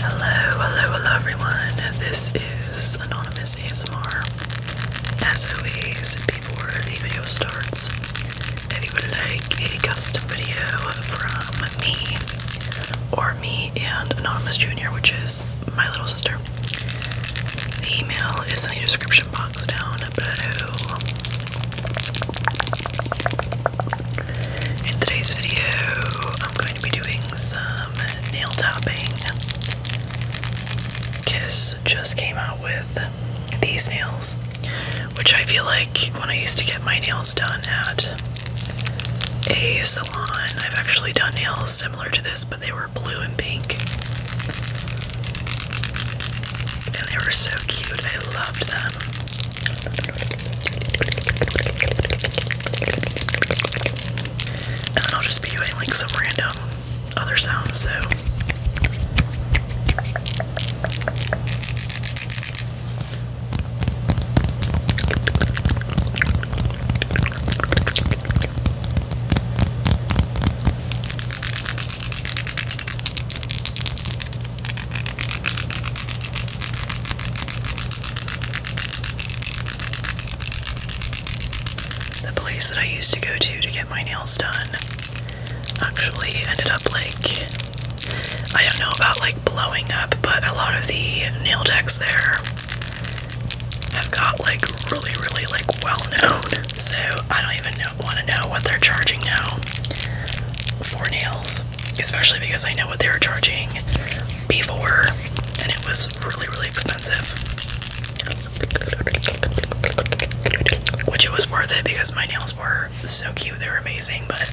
Hello, hello, hello everyone. This is Anonymous ASMR. As always, before the video starts, if you would like a custom video from me or me and Anonymous Jr., which is my little sister, the email is in the description box down below. In today's video, I'm going to be doing some nail tapping. Kiss just came out with these nails, which I feel like when I used to get my nails done at a salon, I've actually done nails similar to this, but they were blue and pink. And they were so cute, I loved them. And then I'll just be doing like some random other sounds, so. The place that I used to go to to get my nails done actually ended up like I don't know about like blowing up, but a lot of the nail decks there have got like really, really like well known. So I don't even know want to know what they're charging now for nails, especially because I know what they were charging before, and it was really, really expensive. Which it was worth it because my nails were so cute, they were amazing, but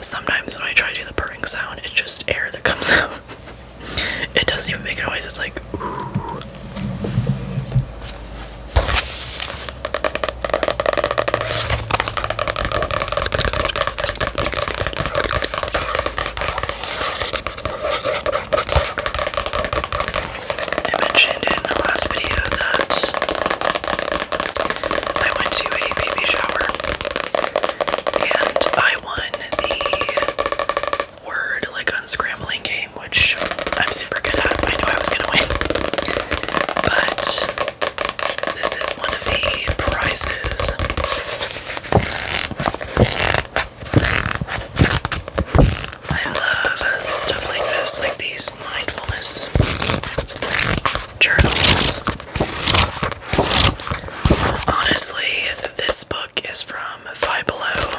sometimes when I try to do the purring sound, it's just air that comes out. It doesn't even make a noise, it's like I mentioned in the last video that I went to a baby shower and I won the word like unscrambling game, which I'm super good at. I knew I was gonna win. But this is one of the prizes. I love stuff like this, like these mindfulness journals. Honestly, this book is from Five Below,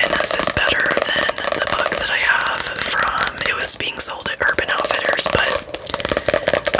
and this is better than the book that I have from. It was being sold at Urban Outfitters, but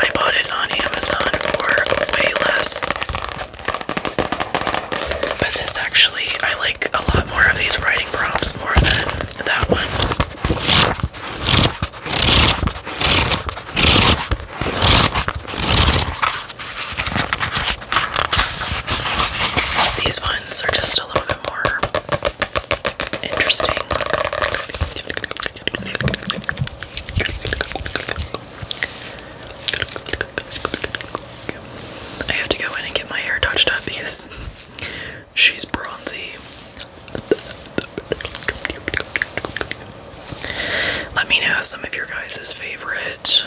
I bought it on Amazon for way less. But this actually, I like a lot more of these writing prompts than that one. These ones are just a little bit more interesting. I have to go in and get my hair touched up because She's bronzy. Let me know some of your guys' favorite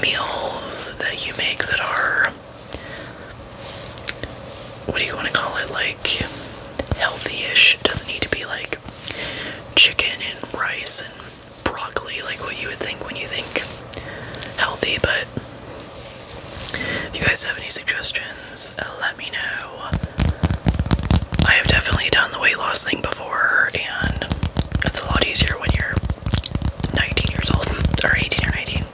meals that you make that are what do you want to call it? Like healthy-ish. doesn't need to be like chicken and rice and broccoli, like what you would think when you think healthy, but if you guys have any suggestions, uh, let me know. I have definitely done the weight loss thing before, and it's a lot easier when you're 19 years old, or 18 or 19,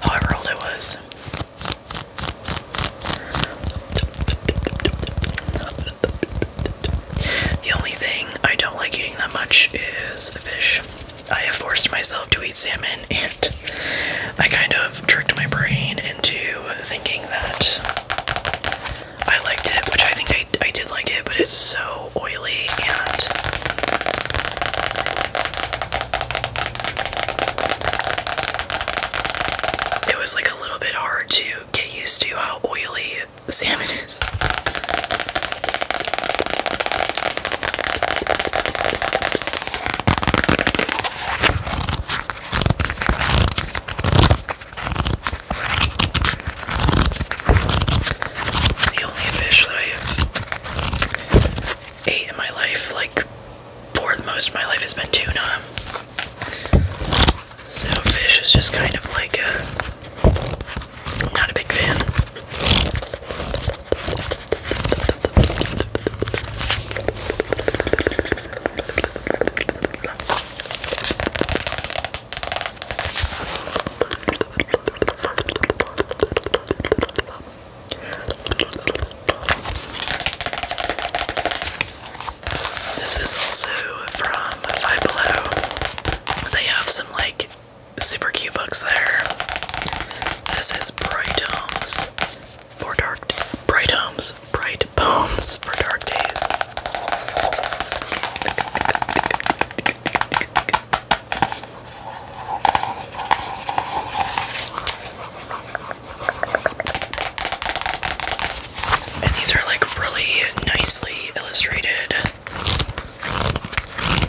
however old I was. The only thing I don't like eating that much is fish. I have forced myself to eat salmon, and I kind of tricked my brain into thinking that I liked it, which I think I, I did like it, but it's so oily and it was like a little bit hard to get used to how oily salmon the only fish that I have ate in my life, like for most of my life, has been tuna. So, fish is just kind of like a not a big fan. This is also from Five Below. They have some like super cute books there. This is Bright Homes for Dark Bright Homes, Bright Poems for Dark Days. And these are like really nicely illustrated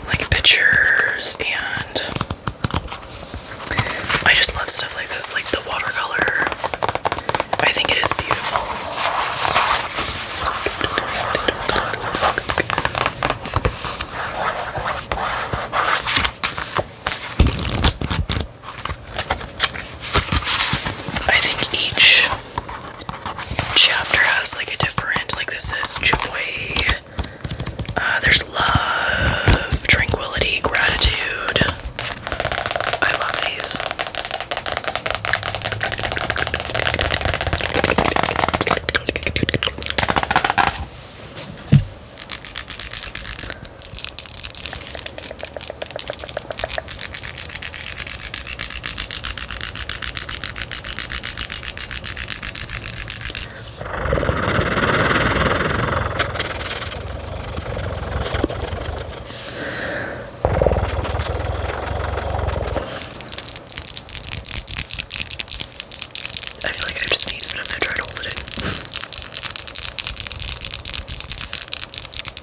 like pictures and I just love stuff like this, like the watercolor. I think it is beautiful. I think each chapter has like a different, like this is joy, uh, there's love, tranquility, gratitude. I love these. I feel like I just sneezed, but I'm gonna try to hold it in.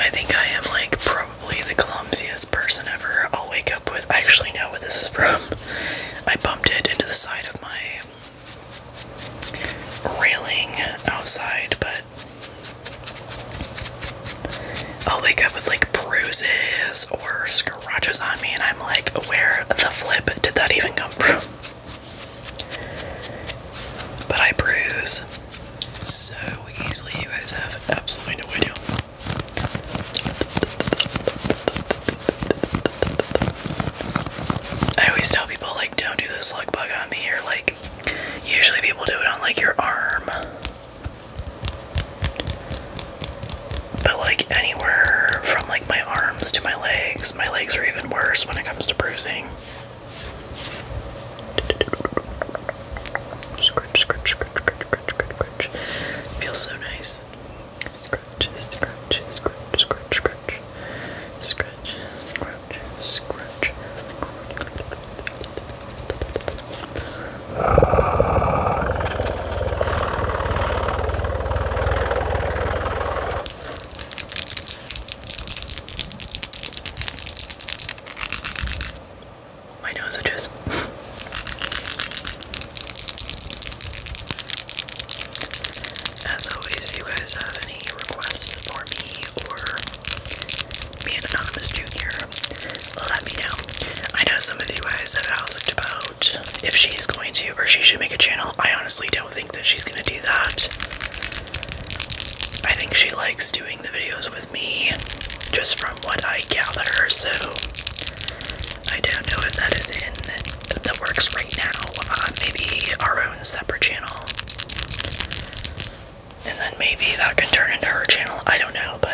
I think I am like probably the clumsiest person ever. I'll wake up with. I actually know what this is from. I bumped it into the side of my railing outside, but I'll wake up with like bruises or scratches on me, and I'm like, where the flip did that even come from? But I bruise so easily, you guys have absolutely no idea. I always tell people, like, don't do the slug bug on me, or like, usually people do it on like your arm. But like anywhere from like my arms to my legs, my legs are even worse when it comes to bruising. Scratch, scratch, scratch, scratch, scratch, scratch. Feels so nice. Scratch, scratch, scratch, scratch, scratch. Scratch, scratch, scratch. My nose itches. As always, if you guys have any requests for me or me and Anonymous Jr. Let me know. I know some of you guys have asked about if she's going to or she should make a channel. I honestly don't think that she's going to do that. I think she likes doing the videos with me, just from what I gather, so I don't know if that is in the works right now. Uh, maybe our own separate channel. And then maybe that can turn into her channel. I don't know, but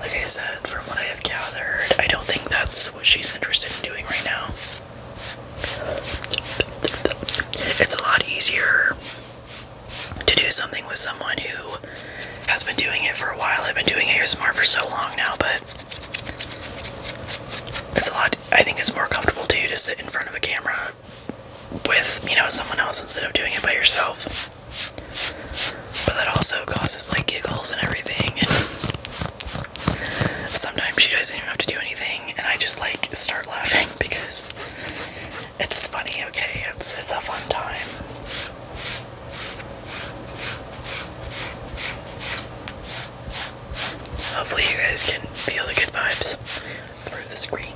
like I said, from what I have gathered, I don't think that's what she's interested in doing right now. It's a lot easier to do something with someone who has been doing it for a while. I've been doing ASMR for so long now, but it's a lot. I think it's more comfortable to you to sit in front of a camera with, you know, someone else instead of doing it by yourself. But that also causes like giggles and everything. And sometimes she doesn't even have to do anything, and I just like start laughing because it's funny. Okay, it's it's a fun time. Hopefully, you guys can feel the good vibes through the screen.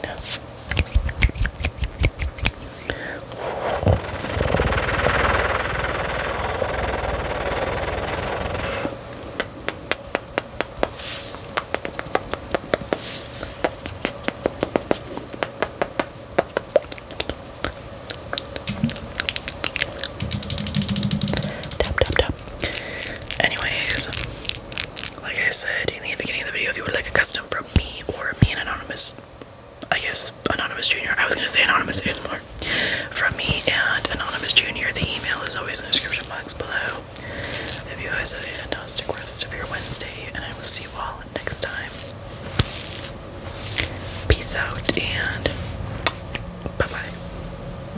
Tap, tap, tap. Anyways, like I said in the beginning of the video, if you would like a custom from me or me and Anonymous, I guess Anonymous Jr. I was gonna say Anonymous more from me and Anonymous Jr. The email is always in the description box below. If you guys have a fantastic rest of your Wednesday, and I will see you all next time. Peace out and bye bye.